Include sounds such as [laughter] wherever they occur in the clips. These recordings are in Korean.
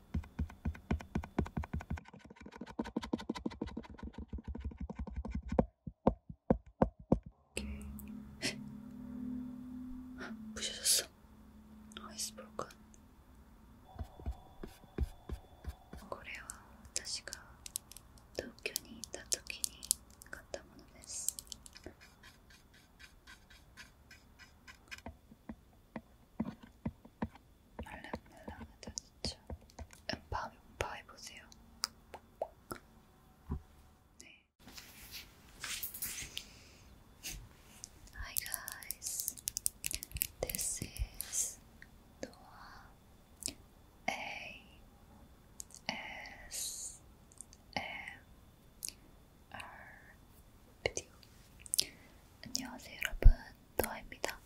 ッ부셔졌어아이스브로큰これは私が東京にいた時に買ったものです。 말랑말랑하다 진짜. Hi guys, this is Noah. 안녕하세요 여러분 너입니다.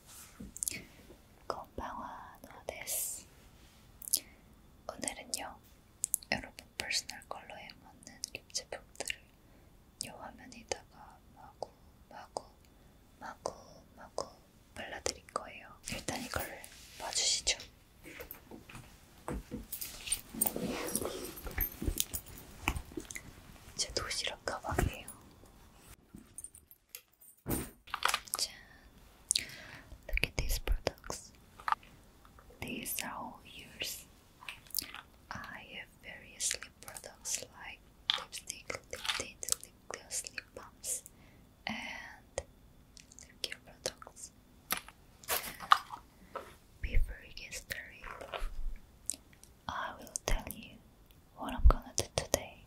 건방와 노데스. 오늘은요, 여러분 퍼스널 컬러에 맞는 립제품들을 요 화면에다가 마구 마구 마구 마구 발라드릴 거예요. 일단 이걸 봐주시죠. 제 도시락 가방이에요. Look at these products. These are all yours. I have various lip products like lipstick, lip tint, lip gloss, lip balms, and lip products. Before we get started, I will tell you what I'm gonna do today.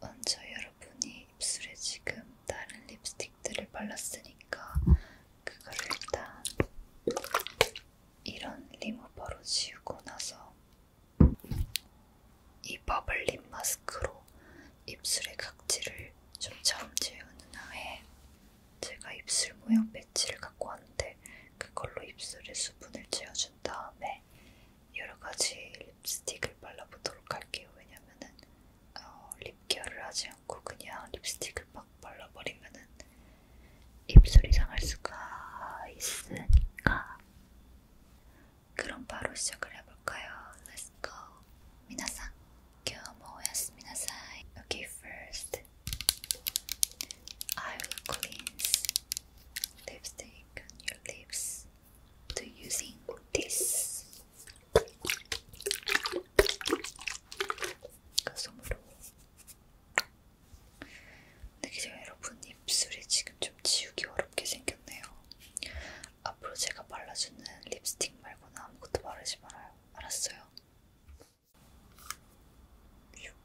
먼저 여러분이 입술에 지금 다른 립스틱들을 발랐으니까 그거를 일단 이런 리무버로 지우고 나서 이 버블 립 마스크로 입술의 각질을 좀 점지우는 후에 제가 입술 모양 배지를 갖고 왔는데 그걸로 입술에 수분을 채워준 다음에 전에 여러 가지 립스틱을 발라보도록 할게요. 왜냐면은 어, 립케어를 하지 않고 그냥 립스틱을 막 발라버리면은 입술이 상할 수가 있으니까. 그럼 바로 시작을 해볼까요? Let's go. 미나상, 교모였습니다. Okay, first I will cleanse lipstick on your lips to using this 가솜으로 근데 네, 기존 여러분 입술이 지금 좀 지우기 어렵게 생겼네요. 앞으로 제가 발라주는 립스틱 말고는 아무것도 바르지 말아요. 알았어요? 슉.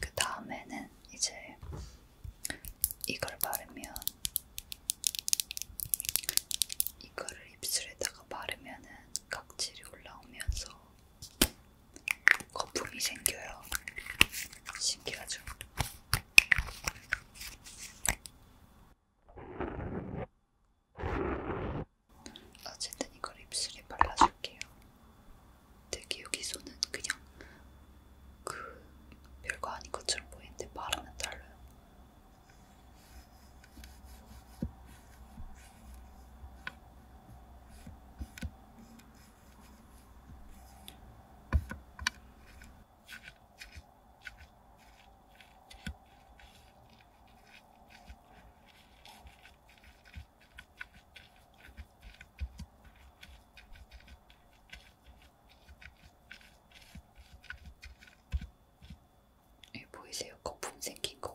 그 다음에는 이제 이걸 바르면 이거를 입술에다가 바르면은 각질이 올라오면서 거품이 생겨요. 신기하죠? 어쨌든 이걸 입술에 발라줄게요. 되게 여기서는 그냥 그 별거 아닌 것처럼 보이는데 바르면 달라요. 예, 보이세요? 거품 생긴 거.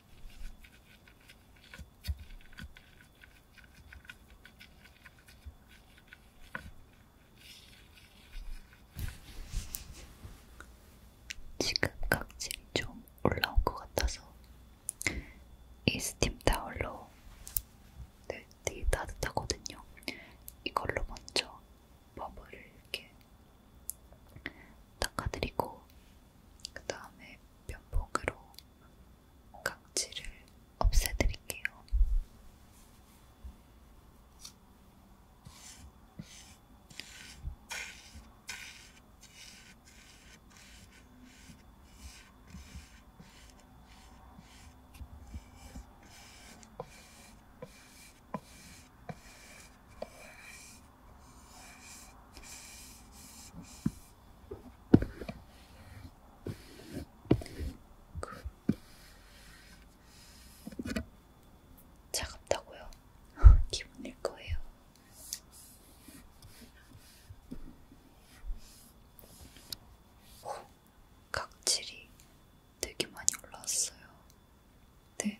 지금 각질이 좀 올라온 것 같아서 이 스팀 타월로 네, 되게 따뜻하거든요. 이걸로 먼저 버블을 이렇게 닦아드리고 그 다음에 면봉으로 각질을 없애드릴게요. 차갑다고요? [laughs] 기분일 거예요. 오, 각질이 되게 많이 올라왔어요. 네.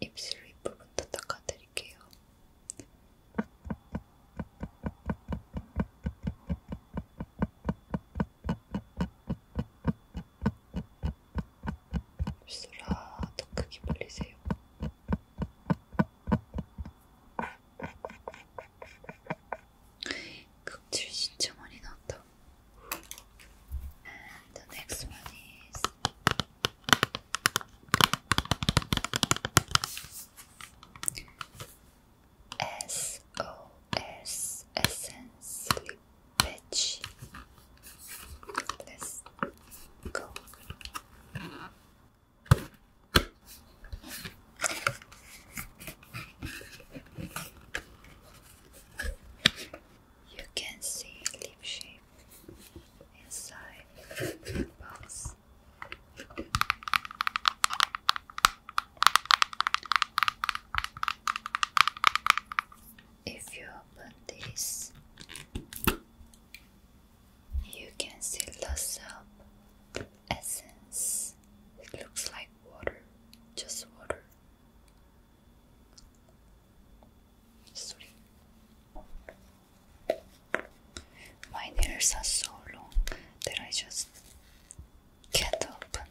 입술 윗부분도 닦아드릴게요. 입술아, 더 크게 벌리세요. 극질 진짜 많이 나왔다. And the next one is SOS Essence Slippage. Let's go. You can see leaf shape inside the box. If you open this, you can see lots of essence. It looks like water, just water. My nails are so long that I just can't open.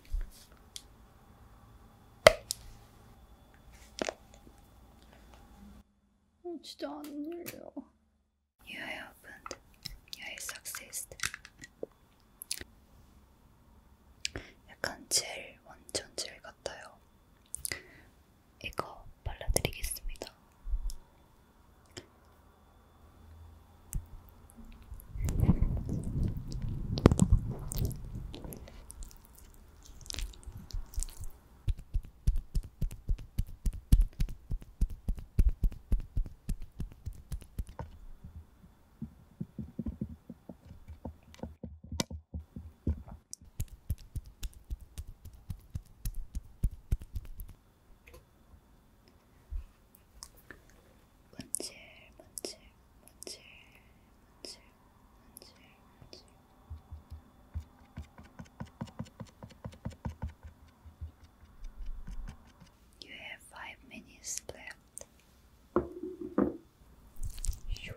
진짜 안 열려. You opened. I succeeded. 약간 젤, 완전 젤 같아요. 이거 발라드리겠습니다. Muncher, muncher, muncher, muncher, muncher, muncher. You have five minutes left. Shoo.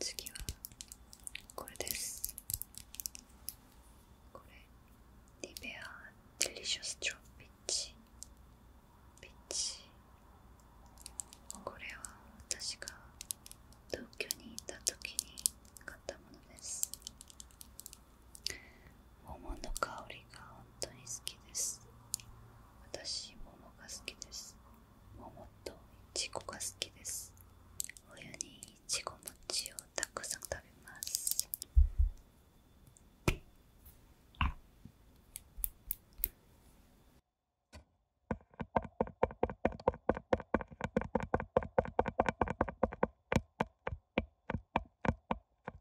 次はこれですこれリベアデリシャスト・ョピッチピッチこれは私が東京にいた時に買ったものです桃の香りが本当に好きです私桃が好きです桃といちが好きです親にいち餅をたくさん食べます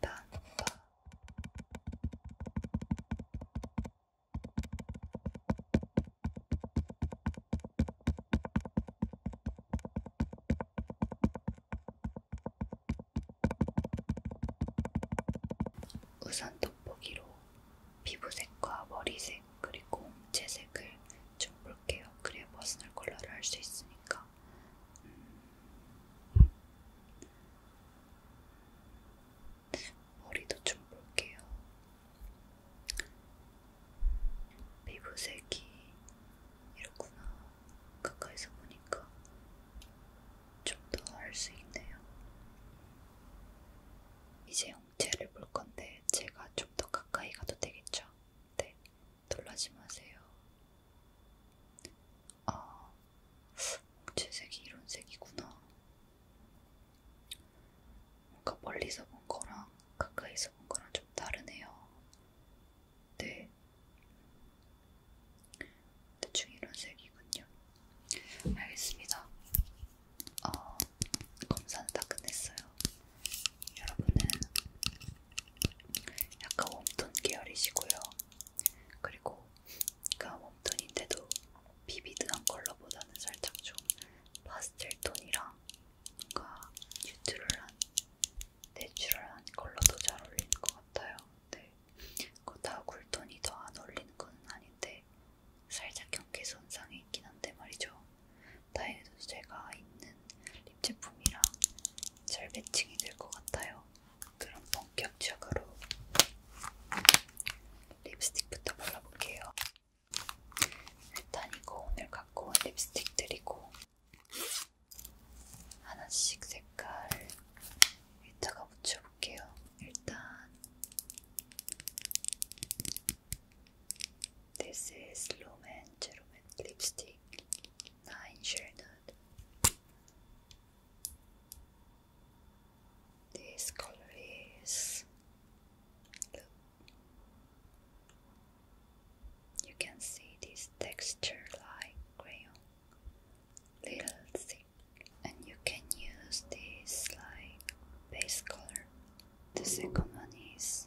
단파 우선 돋보기로 피부색과 머리색 그리고 홍채색을 좀 볼게요. 그래야 퍼스널 컬러를 할 수 있으니까. 않을까. 머리도 좀 볼게요. 피부색이 이렇구나. 가까이서 보니까 좀 더 알 수 있네요. 이제 형체를 볼 건데 제가 좀 더 가까이 가도 되겠죠? 네. 놀라지 마세요. 아, 홍채색이 이런 색이구나. 뭔가 멀리서 본 거랑 가까이서 본 거랑 좀 다르네요. 네. 대충 이런 색이군요. 알겠습니다. 어, 검사는 다 끝냈어요. 여러분은 약간 웜톤 계열이시고요. 그리고 그니까 웜톤인데도 비비드한 컬러보다는 살짝 좀 파스텔 톤이랑 뭔가 뉴트럴한, 내추럴한 컬러도 잘 어울리는 것 같아요. 네, 그다 쿨톤이 더 안 어울리는 건 아닌데 살짝 경계선상에 있긴 한데 말이죠. 다행히도 제가 있는 립 제품이랑 잘 매칭이 될 것 같아요. 그럼 본격적으로 립스틱부터 발라볼게요. 일단 이거 오늘 갖고 온 립스틱들이고 하나씩 색깔 위에다가 묻혀볼게요. 일단 This is Lumen Gentleman Lipstick 9 Shaded. This color is You can see this texture like crayon, little thick, and you can use this like base color. The second one is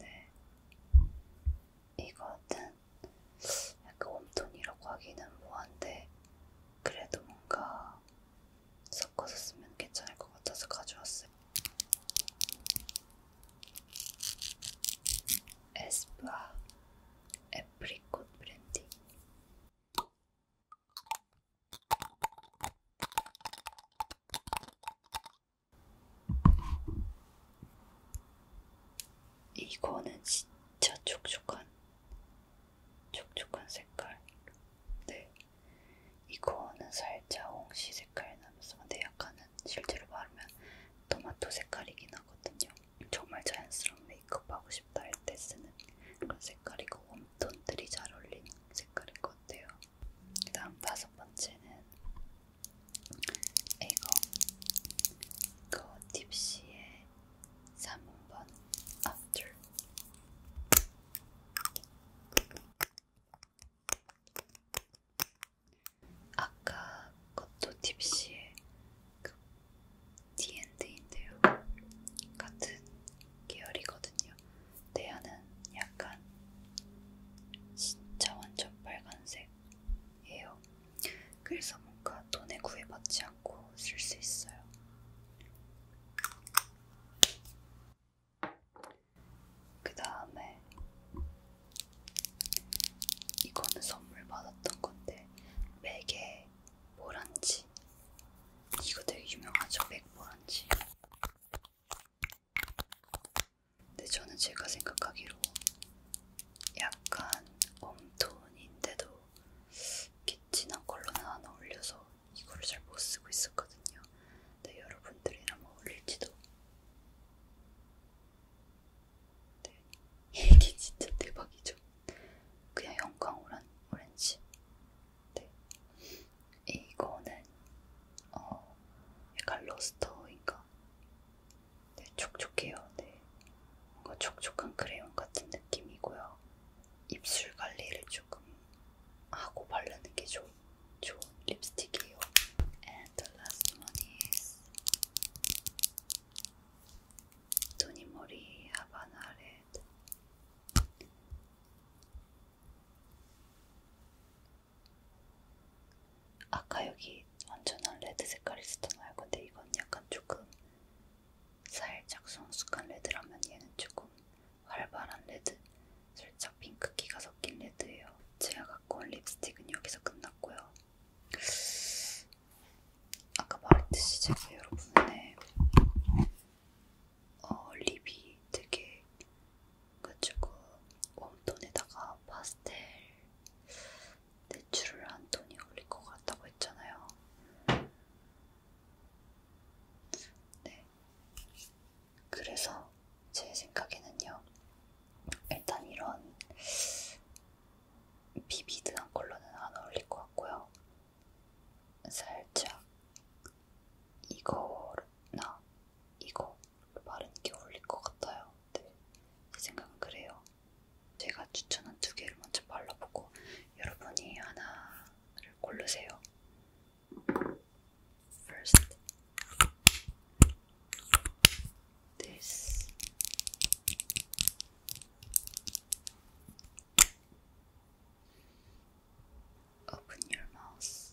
네. 이거는 약간 웜톤이라고 하기는 뭐한데, 그래도 뭔가 섞어서 쓰면 괜찮을 것 같아서 가져왔어요. 에스쁘아 애프리콧 브랜딩 이거는 진짜 촉촉한, 촉촉한 색깔. 네. 이거는 살짝 홍시 색깔이 나면서, 근데 약간은 실제로 바르면 토마토 색깔이긴 하거든요. 정말 자연스러운 메이크업 하고 싶다 할 때 쓰는 그런 색깔이고, 웜톤들이 잘 어울리는 색깔일 것 같아요. 그 다음 다섯 번째는 이거 거 딥시의 3번 After 아까 것도 딥시의 그 D&D인데요 같은 계열이거든요 대안은 네, 약간 진짜 완전 빨간색이에요. 그래서 뭔가 돈에 구애받지 않고 쓸 수 있어요. 그 다음에 이거는 선물 받았던 건데 맥의 모란지 이거 되게 유명하죠? 맥 모란지 근데 저는 제가 생각하기로 약간 웜톤인데도 이렇게 진한 컬러는 안 어울려서 이거를 잘 못 쓰고 있었거든요. 근데 여러분들이랑 뭐 어울릴지도. 네. 이게 진짜 대박이죠. 그냥 영광 오렌지. 네. 이거는 어, 약간 러스터인가? 네, 촉촉해요. 네. 뭔가 촉촉한 크레용 같은 느낌이고요. 입술 관리를 조금 하고 바르는 게 좋, 좋은 립스틱이에요. And the last one is 도니모리 하바나 레드 아까 여기 완전한 레드 색깔이 있었잖아요. 근데 이건 약간 조금 살짝 성숙한 레드라면 얘는 조금 활발한 레드, 살짝 핑크기가 섞인 레드예요. 제가 갖고 온 립스틱은 여기서 끝났고요. 아까 말했듯이 제가 여러분의 어, 립이 되게 그래가지고 웜톤에다가 파스텔 내추럴한 톤이 어울릴 것 같다고 했잖아요. 네. 그래서 제 생각에는요. 일단 이런 비비드한 컬러는 안 어울릴 것 같고요. 살짝 이거나 이거 바른 게 어울릴 것 같아요. 네, 제 생각은 그래요. 제가 추천한 두 개를 먼저 발라보고 여러분이 하나를 고르세요. First, this. Open your mouth.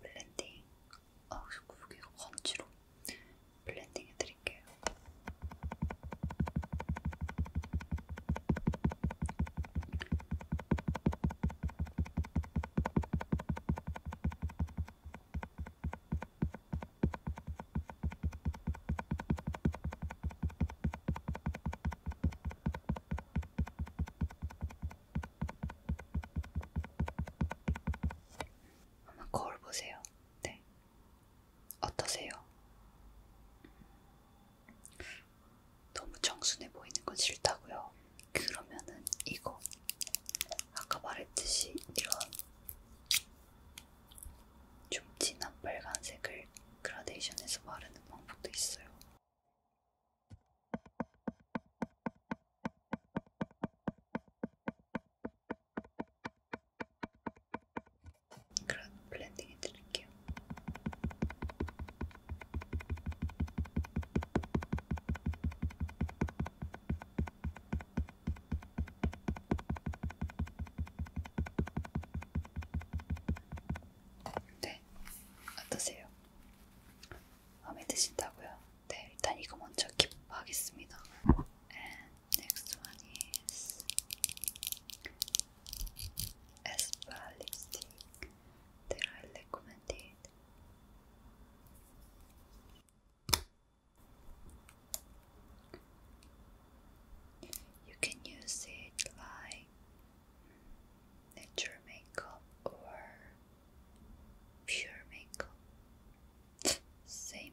블렌딩, 아, 자꾸 여기가 번지로 블렌딩 해드릴게요. 한번 거울 보세요. 네. 어떠세요? 너무 청순해 보이는 건 싫다고요. 그러면은 이거 아까 말했듯이 이런 좀 진한 빨간색을 그라데이션해서 바르는 방법도 있어요. 그럼 블렌딩 해드릴게요. 네, 어떠세요? 마음에 드신다고요? 네, 일단 이거 먼저 기부하겠습니다. And next one is as well recommended. You can use it like nature makeup or pure makeup. Same.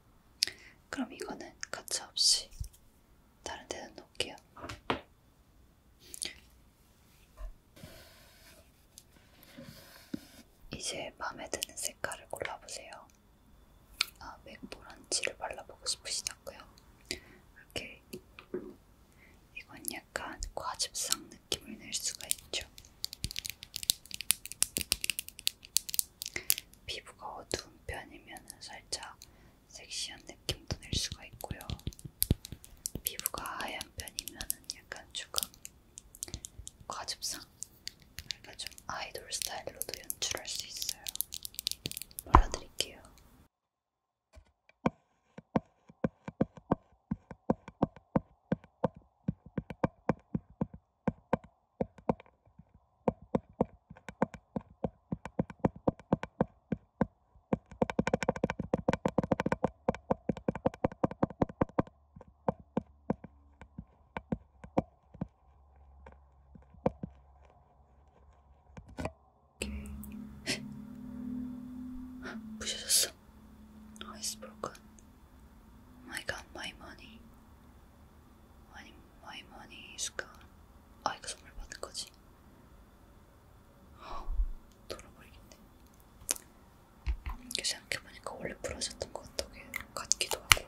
그럼 이거는 가차없이 다른 데는 놓을게요. 이제 마음에 드는 색깔을 골라보세요. 아, 맥보란지를 발라보고 싶으시다고요? 이렇게 이건 약간 과즙상 느낌을 낼 수가 있죠. 피부가 어두운 편이면 살짝 섹시한 느낌도 낼 수가 있고요. 피부가 하얀 편이면 약간 조금 과즙상, 그러니까 좀 아이돌 스타일로도 연출할 수 있어요. 발라드릴게요. 부셔졌어. Oh, it's broken. I got my money. 아니 마이머니 수가 아 이거 선물 받은 거지? 아 돌아버리겠네. 이게 생각해보니까 원래 부러졌던 것 같기도 하고.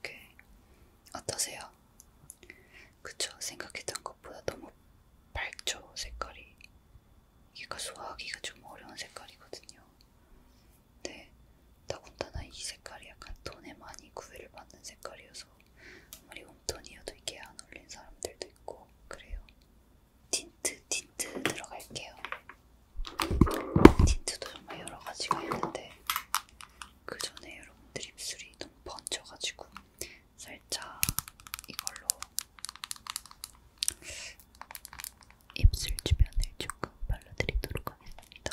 오케이. 어떠세요? 그쵸, 생각했던 것보다 너무 밝죠, 색깔이. 이게 소화하기가 좀 어려운 색깔이거든요. 근데 더군다나 이 색깔이 약간 돈에 많이 구애를 받는 색깔이어서 아무리 돈이어도 이게 안 어울린 사람들도 있고 그래요. 틴트 틴트 들어갈게요. 틴트도 정말 여러 가지가 있는데 그 전에 여러분들 입술이 너무 번져가지고 살짝 이걸로 입술 주변을 조금 발라드리도록 하겠습니다.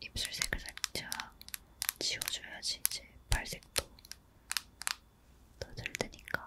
입술색을 살짝 지워줘야지 이제 발색도 더잘 되니까.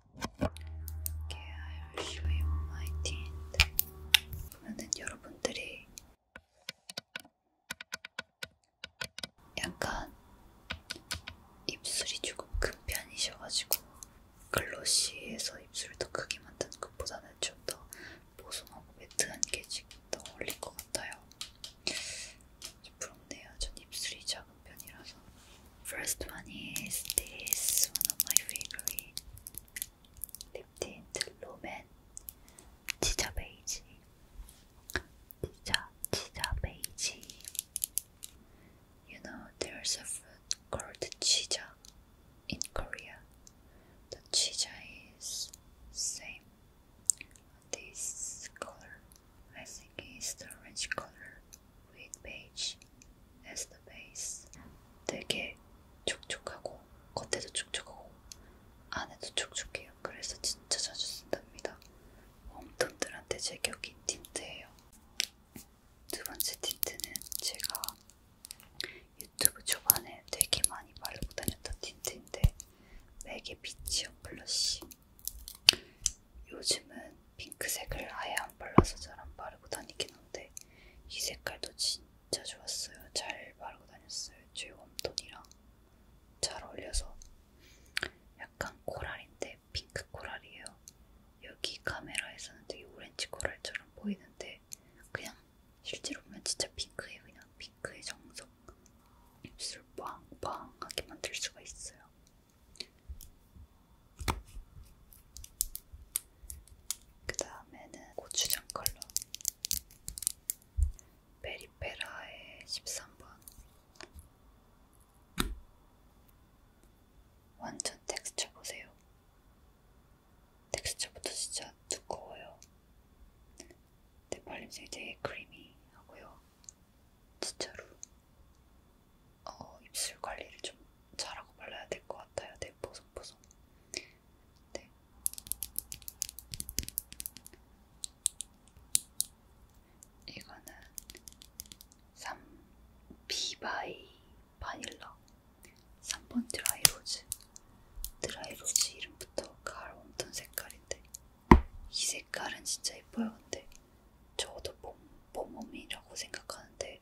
Okay, I will show you my tint. 보면은 여러분들이 약간 입술이 조금 큰 편이셔가지고 글로시에서 입술을 더 크게 만드는 것보다는 좀 더 보송하고 매트한 게 지금 더 어울릴 것 같아요. 좀 부럽네요. 전 입술이 작은 편이라서. First one is this one of my favorite 립틴트 롬앤 치자 베이지 치자 치자 베이지 You know there's a food called chicha in Korea. The chicha is same this color. I think it's the orange color. with beige as the base. 되게 촉촉하고 겉에도 촉촉하고 안에도 촉촉해요. 그래서 진짜 자주 쓴답니다. 웜톤들한테 제격인 틴트예요. 두 번째 틴트는 제가 유튜브 초반에 되게 많이 바르고 다녔던 틴트인데 맥의 비치어 블러쉬 요즘은 핑크색을 아예 안 발라서 잘 안 바르고 다니긴 한데 있었는데 네. 이 색깔도 진짜 좋았어요. 잘 바르고 다녔어요. 제 웜톤이랑 잘 어울려서 약간 코랄인데 핑크 코랄이에요. 여기 카메라에서는 되게 오렌지 코랄처럼 보이는데 그냥 실제로 보면 진짜 핑크예요. 그냥 핑크의 정석. 입술 빵빵하게 만들 수가 있어요. 그 다음에는 고추장 컬러 베리페라의 13번 완전 텍스처 보세요. 텍스처부터 진짜 두꺼워요. 근데 발림색이 되게 크리미하고요. 진짜로 어, 입술 관리를 좀 잘하고 발라야 될 것 같아요. 되게 네, 보송보송. 네. 이거는 3비바이 바닐라 3번 드라이로즈 드라이로즈 이름부터 가을 웜톤 색깔인데 이 색깔은 진짜 예뻐요 근데 저도 봄, 봄웜이라고 생각하는데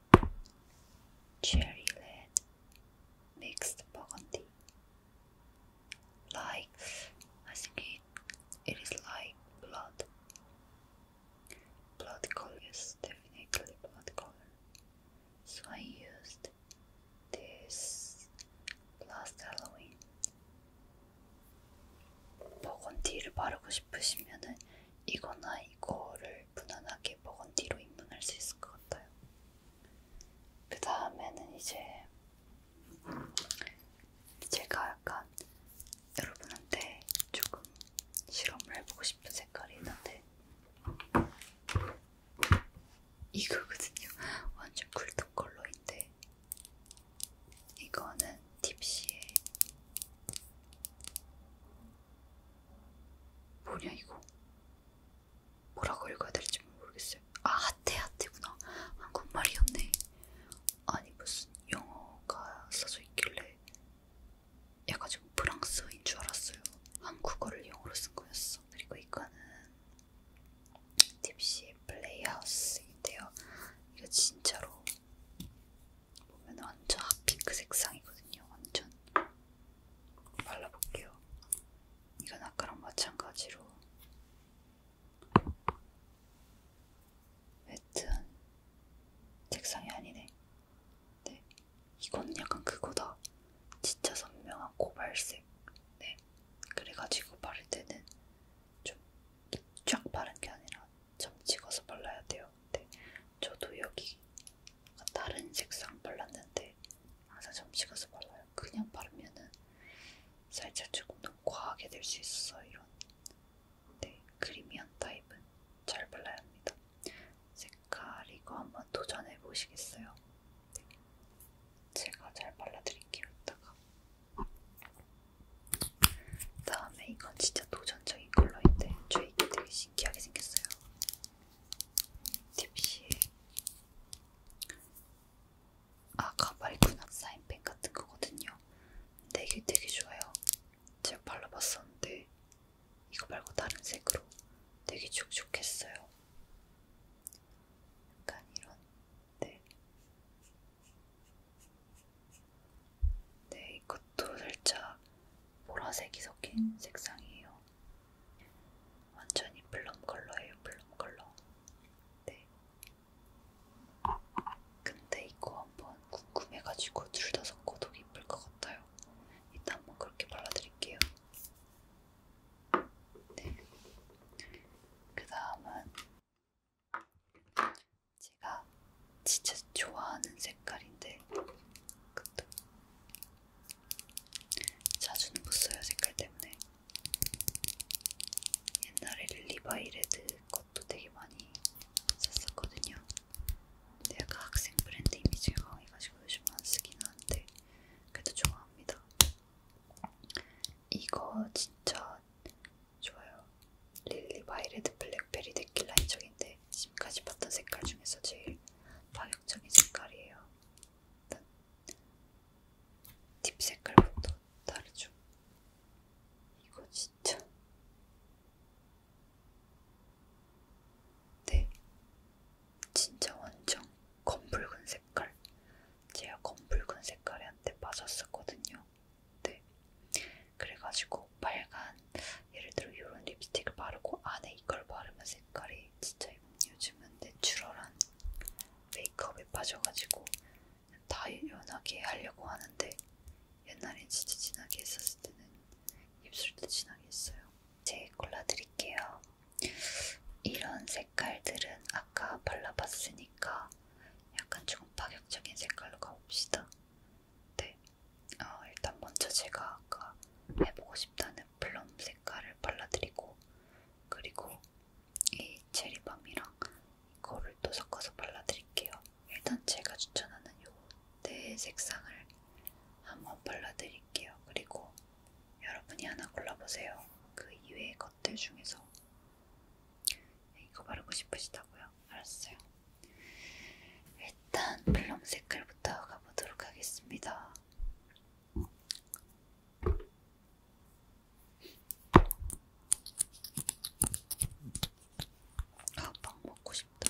cherry red, mixed burgundy. Like, I think it, it is like blood. Blood color is definitely blood color. So I used this last Halloween. 버건디를 이거나 이거를 무난하게 먹은 뒤로 입문할 수 있을 것 같아요. 그 다음에는 이제 제가 약간 여러분한테 조금 실험을 해보고 싶은 색깔이 있는데 이거거든요. [laughs] 완전 쿨톤 컬러인데 이거는 딥시의 뭐냐 이거 뭐라고 읽어야 될지 모르겠어요 아 하태 하태구나 한국말이었네 아, 아니 무슨 영어가 써져 있길래 약간 지금 프랑스인 줄 알았어요 한국어를 영어로 쓴 거였어 그리고 이거는 딥시 플레이하우스인데요 이거 진짜로 보면 완전 핫핑크 색상이거든요. 완전 발라볼게요. 이건 아까랑 마찬가지로 매트한 색상이 아니네. 네, 이건 약간 그거다. 진짜 선명한 고발색. 네, 그래가지고 바를 때는 좀쫙 바른 게 아니라 점 찍어서 발라야 돼요. 네, 저도 여기 다른 색상 발랐는데 항상 점심 가서 발라요. 그냥 바르면은 살짝 조금 너무 과하게 될 수 있어서 이런 네, 크리미한 타입은 잘 발라야 합니다. 색깔 이거 한번 도전해 보시겠어요? 네. 제가 잘 발라드릴게요. 이따가. 다음에 이건 진짜 도전적인 이 컬러인데 저 이게 되게 신기하게 생겼어요. 딥시에 아 가발이구나 사인펜 같은 거거든요. 근데 이게 되게 좋아요. 제가 발라봤었는데 이거 말고 다른 색으로 되게 촉촉했어요. 약간 이런 네. 네, 이것도 살짝 보라색이 섞인 색상이에요. 완전히 플럼 컬러예요, 플럼 컬러. 네. 근데 이거 한번 궁금해가지고 둘 다 섞어도 예쁠 것 같아요. 이따 한번 그렇게 발라드릴게요. 네. 그 다음은 제가 진짜 좋아하는 색깔인데 그것도 자주는 못 써요 색깔 때문에 옛날에 리바이 레드 것도 되게 많이 샀었거든요. 근데 약간 학생 브랜드 이미지가 강해가지고 요즘 안 쓰긴 하는데 그래도 좋아합니다. 이거 진짜 좋아요. 릴리바이 레드 블랙베리 데킬라인 적인데 같은데 지금까지 봤던 색깔 중에서 제일 파격적인 색깔이에요. 일단 딥 색깔부터 다르죠. 이거 진짜 네 진짜 완전 검붉은 색깔 제가 검붉은 색깔에 한테 빠졌었거든요. 네 그래가지고 빨간 예를 들어 이런 립스틱을 바르고 안에 이걸 바르면 색깔이 진짜 요즘은 내추럴한 메이크업에 빠져가지고 다 연하게 하려고 하는데 옛날엔 진짜 진하게 했었을 때는 입술도 진하게 했어요. 제 골라드릴게요. 이런 색깔들은 아까 발라봤으니까 약간 조금 파격적인 색깔로 가봅시다. 네. 어, 일단 먼저 제가 아까 해보고 싶다는 플럼 색깔을 발라드리고 그리고 이 체리밤이랑 이거를 또 섞어서 발라드릴게요. 일단 제가 추천하는 요 네 색상을 한번 발라드릴게요. 그리고 여러분이 하나 골라보세요. 그 이외의 것들 중에서 네, 이거 바르고 싶으시다고요? 알았어요. 일단 블럼 색깔부터 가보도록 하겠습니다. 아, 빵 먹고 싶다.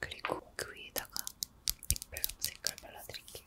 그리고 그 위에다가 립벨럼 색깔 발라드릴게요.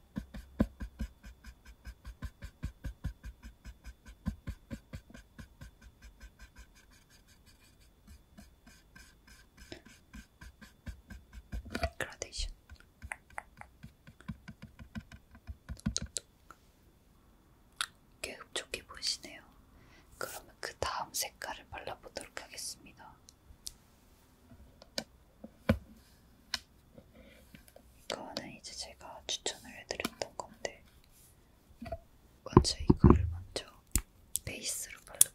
그라데이션. 꽤 흡족해 보이시네요. 그러면 그 다음 색깔을 발라보도록 하겠습니다. 이거는 이제 제가 추천을 해드렸던 건데 먼저 이거를 먼저 베이스로 바르고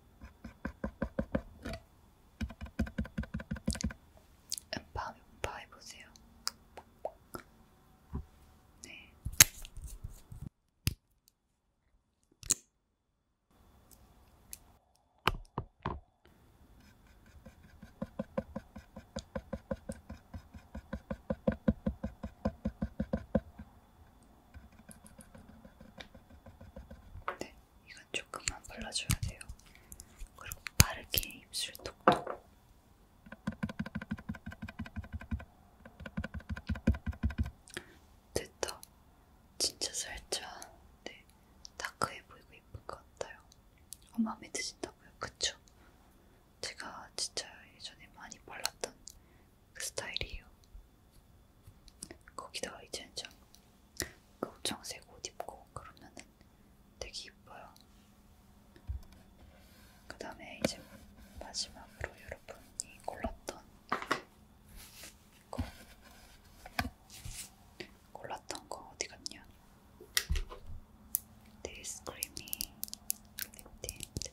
음파, 음파 해보세요. 네. 네, 이건 조금만 발라줘야 돼요. 그리고 빠르게 입술 톡톡. 됐다. 진짜 살짝 네, 다크해 보이고 예쁜 것 같아요. 어, 마음에 드신다고요? 그쵸? 제가 진짜 예전에 많이 발랐던 그 스타일이에요. 거기다가 이제는 좀 검정색 옷 입고 그러면은 되게 이뻐요. 그 다음에 이제 마지막으로 여러분이 골랐던 거 골랐던 거 어디 갔냐? 데이스 크림이 립틴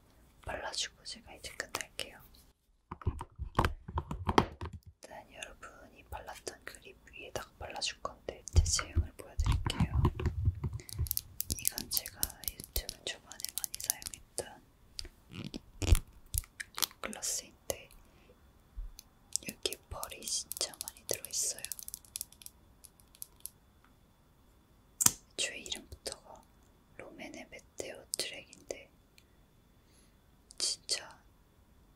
발라주고 제가 이제 끝날게요. 일단 여러분이 발랐던 그립 위에다가 발라줄 건데 제 제형을 보여드릴게요. 이건 제가 유튜브 초반에 많이 사용했던 글라스인데 여기 에 벌이 진짜 많이 들어있어요. 주의 이름부터가 로맨의 메테오 트랙인데 진짜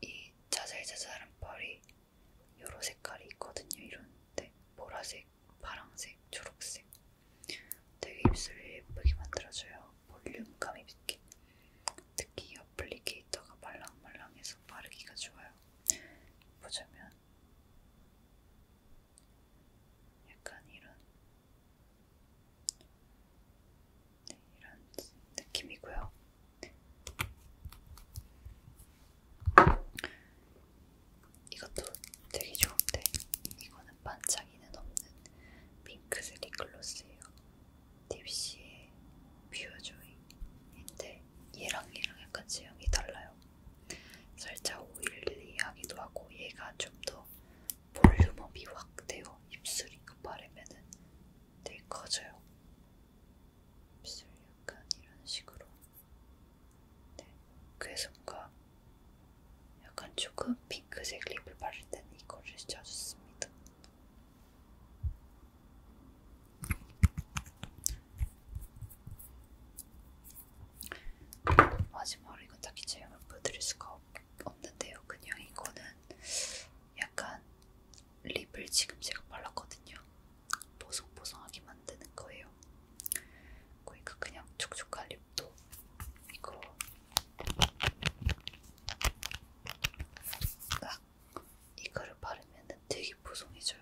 이 자잘자잘한 펄이 여러 색깔이 있거든요. 이런데 보라색, 파랑색, 초록색 되게 입술을 예쁘게 만들어줘요. 볼륨감이 있게 특히 이 어플리케이터가 말랑말랑해서 바르기가 좋아요. 보자면 약간 이런, 네, 이런 느낌이고요. 이것도 되게 좋은데 이거는 반짝이는 없는 핑크색 립글로스예요. 딥시의 뷰어조이인데 얘랑 얘랑 약간 제형이 달라요. 살짝 오일리하기도 하고 얘가 좀 더 볼륨업이 확 돼요. 입술 이거 바르면은 되게 커져요. 입술 약간 이런 식으로. 네. 그래서 뭔가 약간 조금 핑크색 립을 바를 때는 이거를 자주 씁니다. 마지막으로 이건 딱히 제형을 보여드릴 수가 없는데요. 그냥 이거는 약간 립을 지금 제가 발랐거든요. 보송보송하게 만드는 거예요. 그러니까 그냥 촉촉한 립도 이거 딱 이거를 바르면 되게 보송해져요.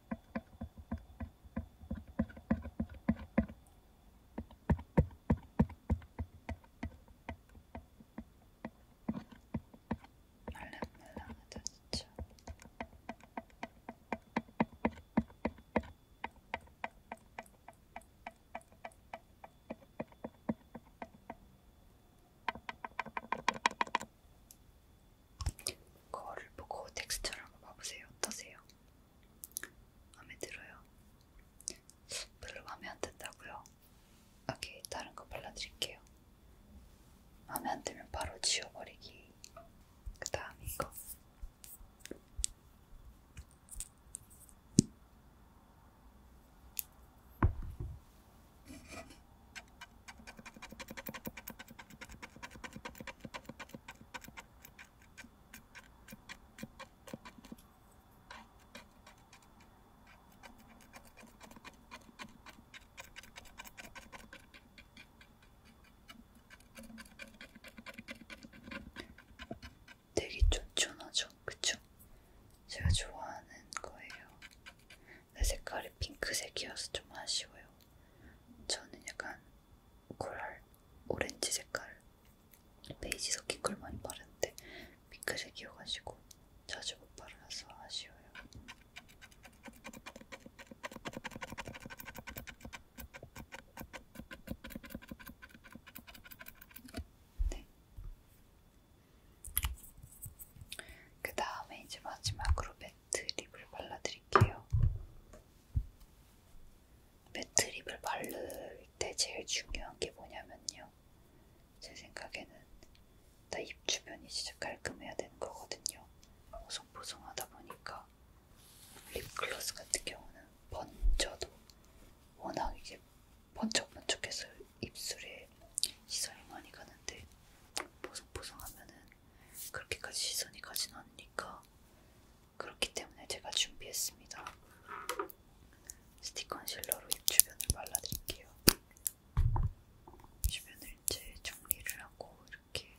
말랑말랑하다 진짜. 거울을 보고 텍스처를 한번 봐보세요. 어떠세요? 마음에 들어요. 별로 마음에 안 든다고요? 오케이, 다른 거 발라드릴게요. 마음에 안 들면 바로 지워버리기. 그 다음 이거. 되게 쫀쫀하죠? 그쵸? 제가 좋아하는 거예요. 내 색깔이 핑크색이어서 좀 아쉬워요. 저는 약간 코랄 오렌지 색깔 베이지 섞인 걸 많이 바르는데 핑크색이어가지고 자주 못 바라서 아쉬워요. 네. 그 다음에 이제 마지막으로 매트 립을 발라드릴게요. 매트립을 바를 때 제일 중요한 게 뭐냐면요. 제 생각에는 나입 주변이 진짜 깔끔해야 되는 거거든요. 보송보송하다 보니까 립글로스 같은 경우는 번져도 워낙 이게 번쩍번쩍해서 입술에 시선이 많이 가는데 보송보송하면은 그렇게까지 시선이 가진 않으니까 그렇기 때문에 제가 준비했습니다. 스틱 컨실러로 입 주변을 발라드릴게요. 주변을 이제 정리를 하고 이렇게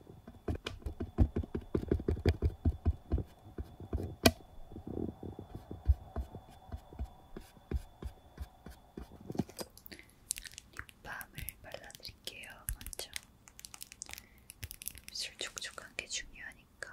립밤을 발라드릴게요. 먼저 입술 촉촉한 게 중요하니까.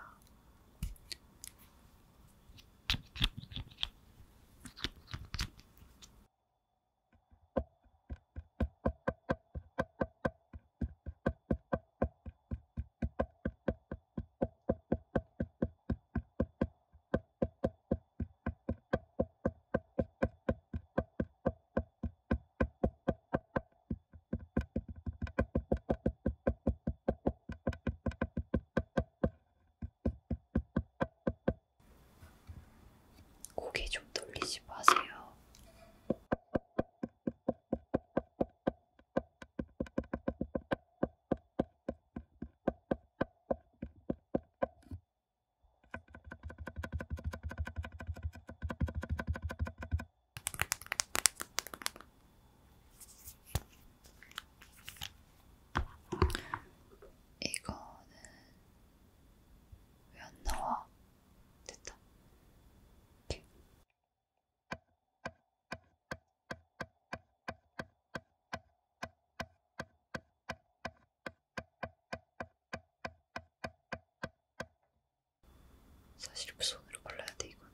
고개 좀 돌리지 마세요. 이거는 왜안 나와? 됐다. 이렇게. 사실 손으로 골라야 돼 이건.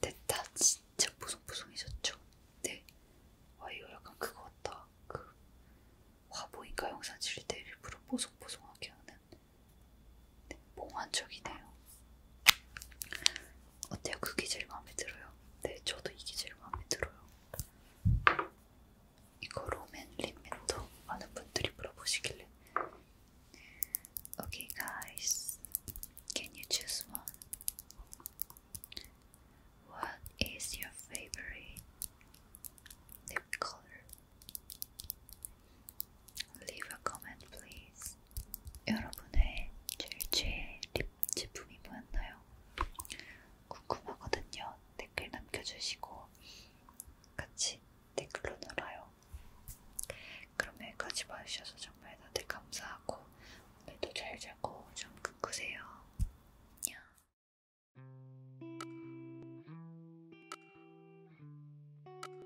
됐다. 진짜 보송보송해졌죠? 네. 와, 아, 이거 약간 그거 같다. 그, 화보인가 영상 찍을 때 일부러 보송보송하게 하는 봉환적이 네요 어때요? 그게 제일 마음에 들어요. 네, 저도 이게 제일 마음에 들어요. 이거 로맨 립맨도 많은 분들이 물어보시길래. Okay, guys, can you choose one? What is your favorite lip color? Leave a comment please. 여러분의 질주의 립 제품이 뭐였나요? 궁금하거든요. 댓글 남겨주시고 같이 댓글로 놀아요. 그럼 여기까지 봐주셔서 정말 다들 감사하고 오늘도 잘 자고 좀 꿈꾸세요. 안녕.